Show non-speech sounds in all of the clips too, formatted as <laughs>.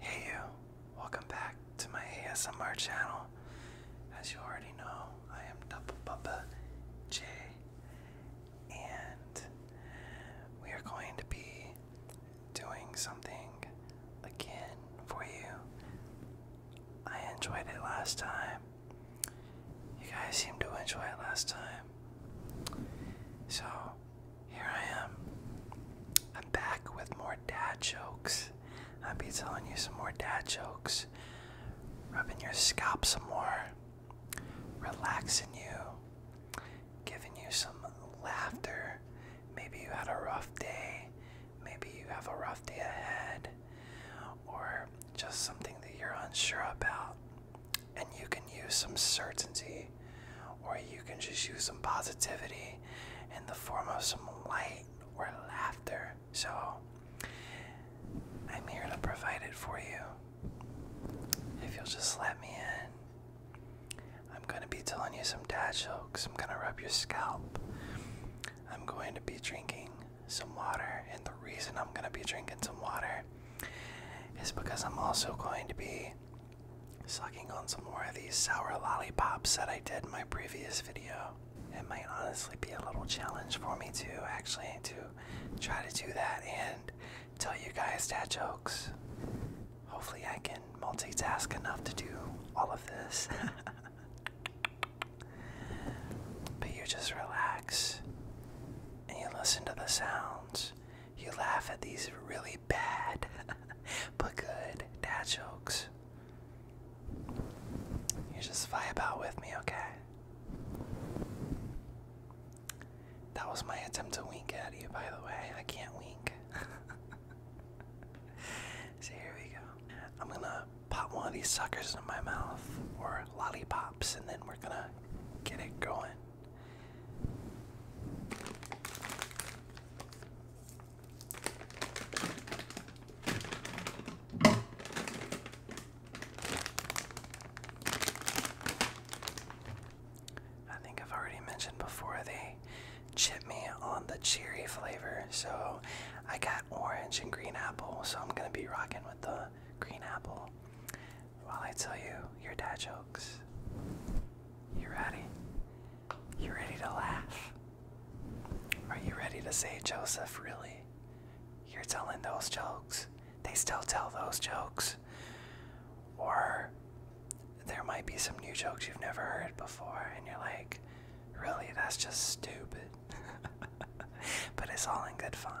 Hey you, welcome back to my ASMR channel. As you already know, I am Double Papa J, and we are going to be doing something again for you. I enjoyed it last time. You guys seemed to enjoy it last time. So, here I am. I'm back with more dad jokes. I'll be telling you some more dad jokes. Rubbing your scalp some more. Relaxing you. Giving you some laughter. Maybe you had a rough day. Maybe you have a rough day ahead. Or just something that you're unsure about. And you can use some certainty or you can just use some positivity in the form of some light or laughter. So, I'm here to provide it for you. If you'll just let me in, I'm going to be telling you some dad jokes. I'm going to rub your scalp. I'm going to be drinking some water, and the reason I'm going to be drinking some water is because I'm also going to be sucking on some more of these sour lollipops that I did in my previous video. It might honestly be a little challenge for me to actually to try to do that and tell you guys dad jokes. Hopefully I can multitask enough to do all of this. <laughs> but you just relax and you listen to the sounds you laugh at these really bad <laughs> but good dad jokes. You just fly about with me, okay? That was my attempt to wink at you, by the way. I can't wink. so <laughs> here we go. I'm gonna pop one of these suckers into my mouth, or lollipops, and then we're gonna get it going. I think I've already mentioned before they chip me on the cherry flavor, so I got orange and green apple, so I'm gonna be rocking with the green apple while I tell you your dad jokes. You ready? You ready to laugh? Are you ready to say, Joseph, really? You're telling those jokes? They still tell those jokes? Or there might be some new jokes you've never heard before, and you're like, really, that's just stupid. <laughs> but it's all in good fun.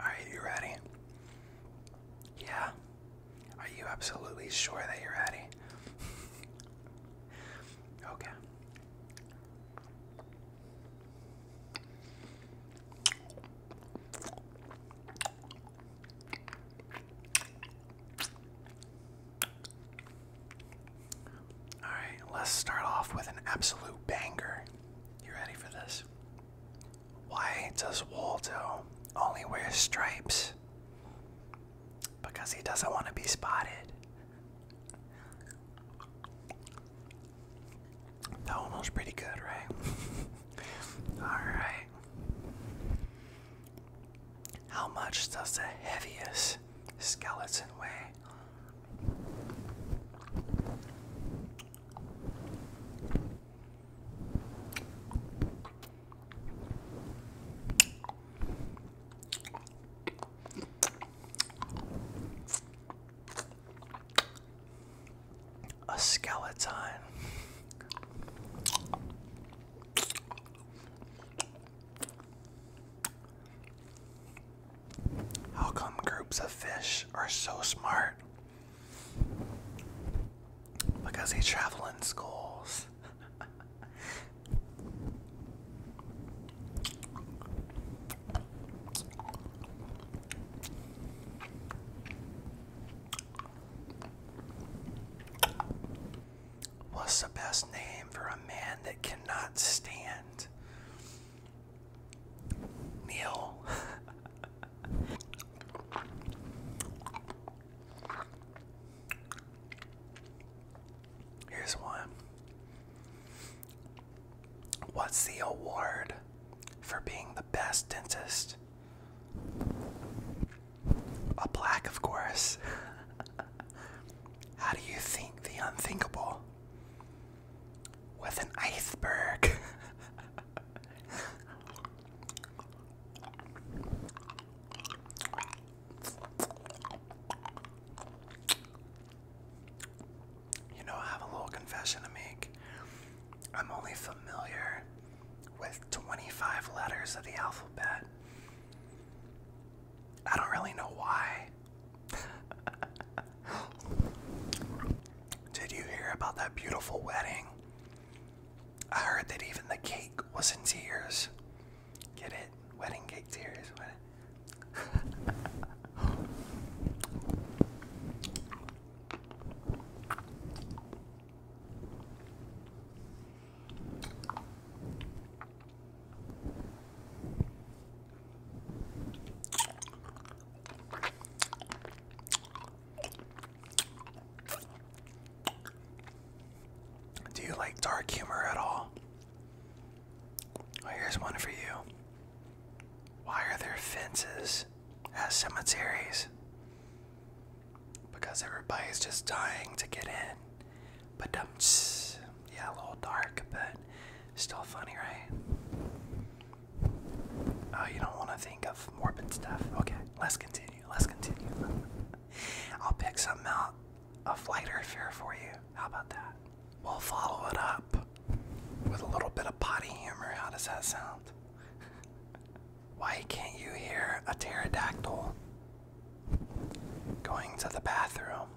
Are you ready? Yeah. Are you absolutely sure that you're ready? <laughs> okay. Alright, let's start off with an absolute banger. You ready for this? Why does Waldo only wear stripes? Because he doesn't want to be spotted. That one was pretty good, right? <laughs> Alright. How much does the heaviest skeleton weigh? A skeleton. How come groups of fish are so smart? Because they travel in schools. What's the best name for a man that cannot stand? Neil. <laughs> Here's one. What's the award for being the best dentist? A black, of course. <laughs> How do you think the unthinkable? With an iceberg. <laughs> you know, I have a little confession to make. I'm only familiar with 25 letters of the alphabet. I don't really know why. <laughs> Did you hear about that beautiful wedding? I heard that even the cake was in tears. Get it? Wedding cake tears. <laughs> Do you like dark humor at all? here's one for you. Why are there fences at cemeteries? because everybody's just dying to get in. But um, <sniffs> yeah, a little dark, but still funny, right? Oh, you don't want to think of morbid stuff. Okay, let's continue. Let's continue. <laughs> I'll pick something out of lighter fear for you. How about that? We'll follow it up with a little bit of potty humor. How does that sound? <laughs> Why can't you hear a pterodactyl going to the bathroom?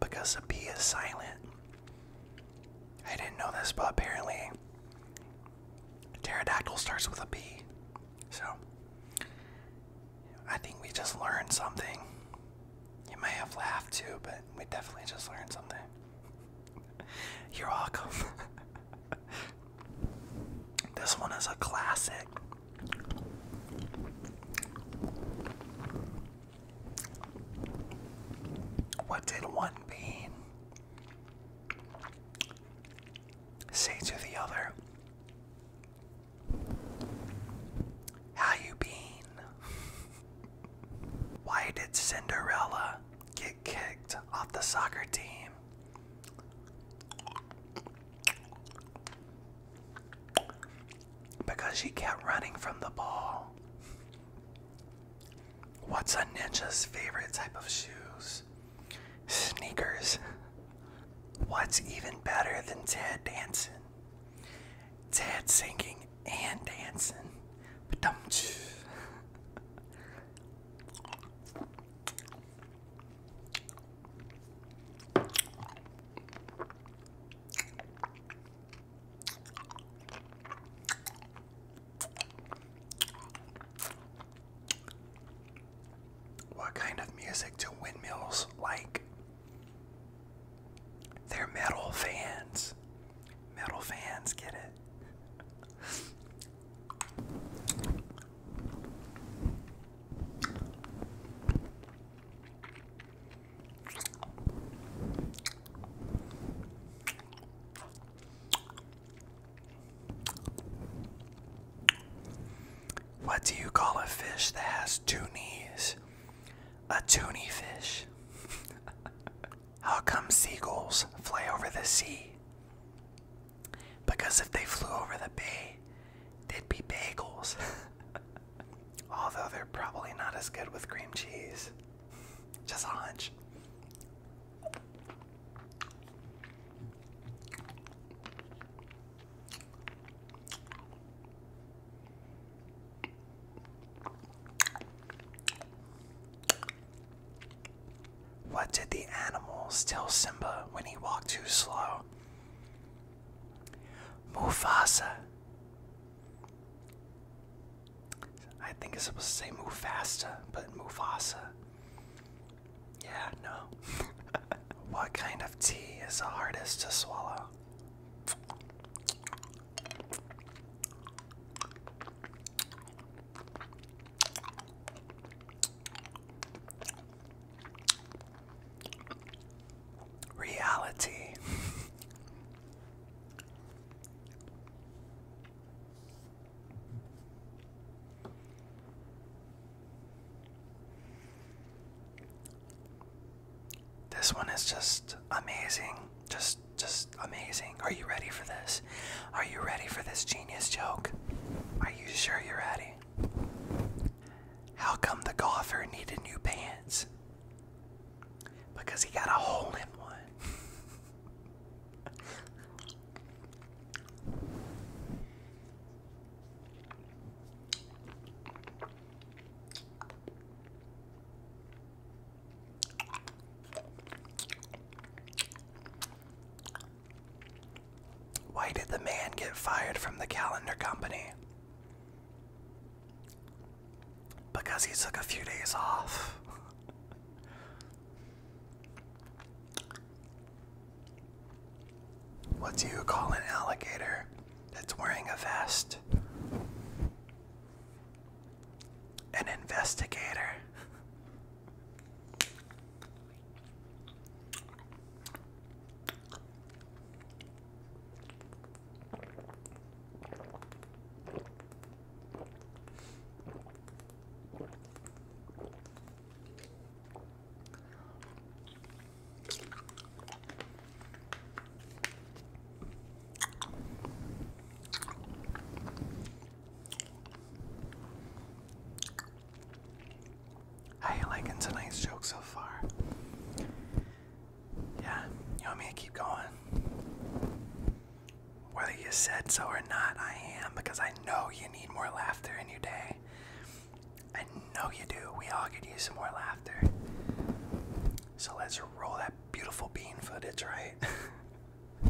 Because a is silent. I didn't know this, but apparently, pterodactyl starts with a B. So, I think we just learned something. You may have laughed too, but we definitely just learned something. You're welcome. <laughs> this one is a classic. What did one mean? say to the other, How you been? <laughs> Why did Cinderella get kicked off the soccer team? Because she kept running from the ball. What's a ninja's favorite type of shoes? Sneakers. What's even better than Ted dancing? Ted singing and dancing. But don't what kind of music do windmills like? They're metal fans. Metal fans get it. What do you call a fish that has two knees? A toonie fish. <laughs> How come seagulls fly over the sea? Because if they flew over the bay, they'd be bagels. <laughs> Although they're probably not as good with cream cheese. <laughs> Just a hunch. What did the animals tell Simba when he walked too slow? Mufasa. I think it's supposed to say move faster, but Mufasa. Yeah, no. <laughs> what kind of tea is the hardest to swallow? Reality. <laughs> This one is just amazing. Just just amazing. Are you ready for this? Are you ready for this genius joke? Are you sure you're ready? How come the golfer needed new pants? Because he got a hole in one. <laughs> Why did the man get fired from the calendar company? Because he took a few days off. <laughs> What do you call an alligator that's wearing a vest? An investigator. How you liking tonight's joke so far? Yeah, you want me to keep going? whether you said so or not, I am because I know you need more laughter in your day. I know you do. We all could use some more laughter. So let's roll that beautiful bean footage, right?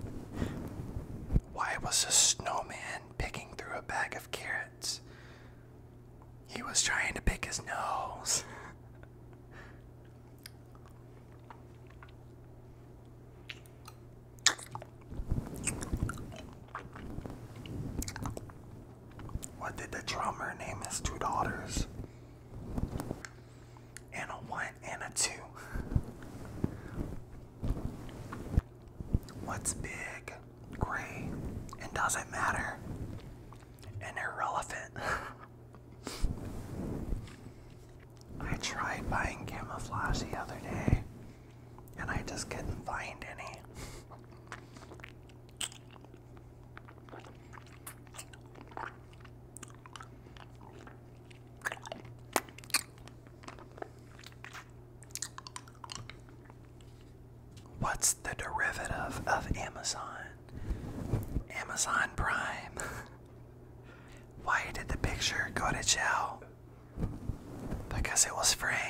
<laughs> Why was a snowman picking through a bag of carrots? He was trying to pick his nose. <laughs> What did the drummer name his two daughters? And a one and a two. What's big, gray, and doesn't matter, and irrelevant? <laughs> I tried buying camouflage the other day and I just couldn't find any. What's the derivative of Amazon? Amazon Prime. <laughs> Why did the picture go to jail? Because it was framed.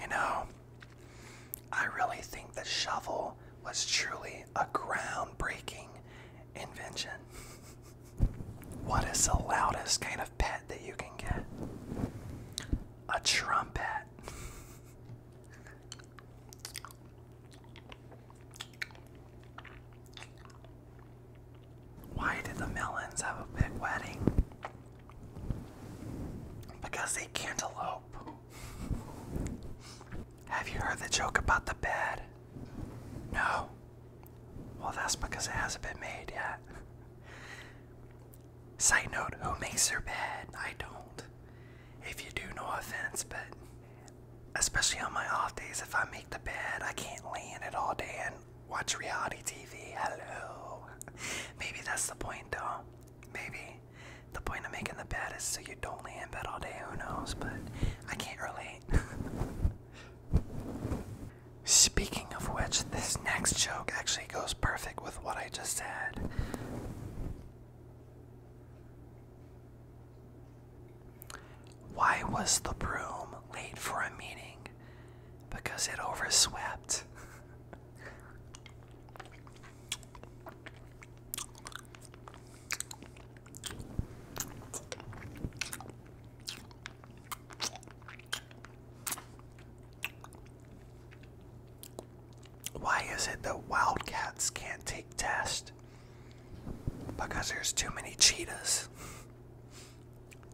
You know, I really think the shovel was truly a groundbreaking invention. What is the loudest kind of pet that you can get? A trumpet. Why did the melons have a big wedding? Because they cantaloupe. have you heard the joke about the bed? No. Well, that's because it hasn't been made yet. Side note, who makes their bed? I don't. If you do, no offense, but especially on my off days, if I make the bed, I can't lay in it all day and watch reality TV. Hello. <laughs> Maybe that's the point, though. Maybe the point of making the bed is so you don't lay in bed all day. Who knows? But I can't relate. <laughs> Speaking of which, this next joke actually goes perfect with what I just said. Why was the broom late for a meeting? Because it overswept. Why is it that wildcats can't take tests? Because there's too many cheetahs.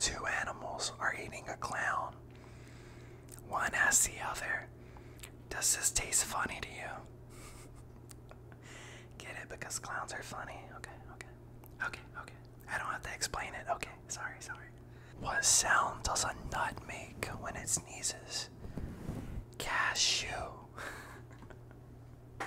Two animals are eating a clown. One asks the other, Does this taste funny to you? <laughs> Get it? Because clowns are funny. Okay, okay. Okay, okay. I don't have to explain it. Okay, sorry, sorry. What sound does a nut make when it sneezes? Cashew. <laughs>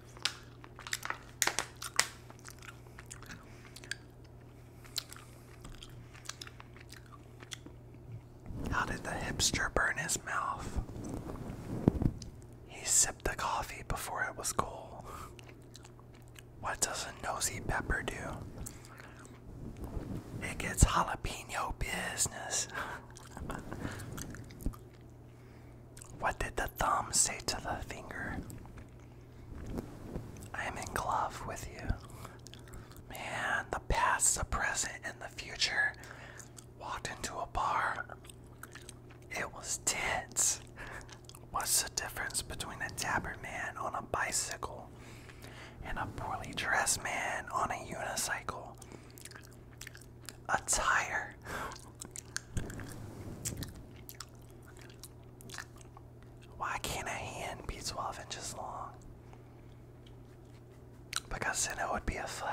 How did the hipster burn his mouth? He sipped the coffee before it was cool. What does a nosy pepper do? It gets jalapeno business. <laughs> What did the thumb say to the finger? I am in love with you. Man, the past, the present, and the future walked into a bar. It was tense. What's the difference between a dapper man on a bicycle and a poorly dressed man on a unicycle? a tire. Why can't a hand be 12 inches long? Because then it would be a foot.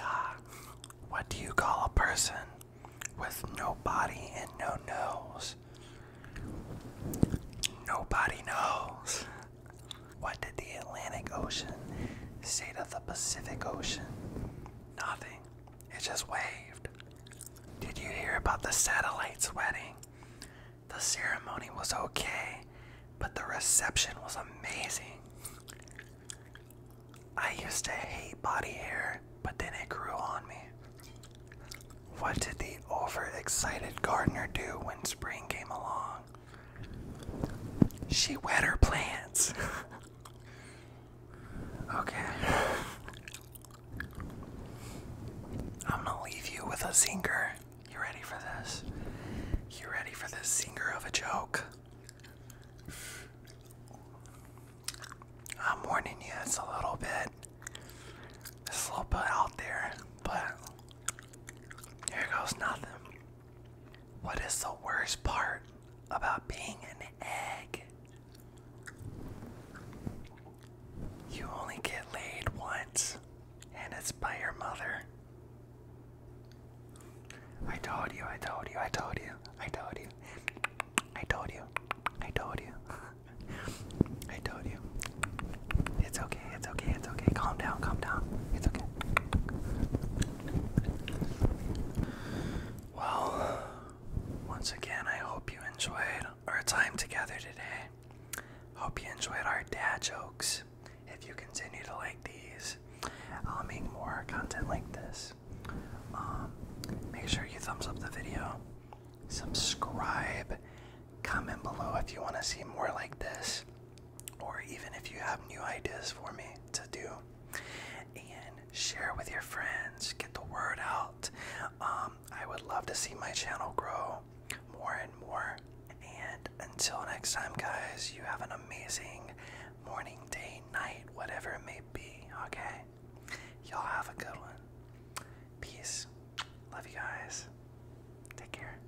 Ah, what do you call a person with no body and no nose? Nobody knows. What did the Atlantic Ocean state of the Pacific Ocean? Nothing. It just waved. Did you hear about the satellite's wedding? The ceremony was okay, but the reception was amazing. I used to hate body hair, but then it grew on me. What did the overexcited gardener do when spring came along? She wet her plants. okay. I'm gonna leave you with a zinger. You ready for this? You ready for this zinger of a joke? I'm warning you, it's a little bit, it's a little bit out there, but here goes nothing. What is the worst part about being an egg? You only get laid once, and it's by your mother. I told you, I told you, I told you, I told you, I told you, I told you, <laughs> I told you. It's okay, it's okay, it's okay. Calm down, calm down. It's okay. Well, once again, I hope you enjoyed our time together today. Hope you enjoyed our dad jokes. If you continue to like these, I'll make more content like this. Um, make sure you thumbs up the video, subscribe, comment below if you want to see more like this or even if you have new ideas for me to do and share with your friends get the word out um, i would love to see my channel grow more and more and until next time guys you have an amazing morning day night whatever it may be okay y'all have a good one peace love you guys take care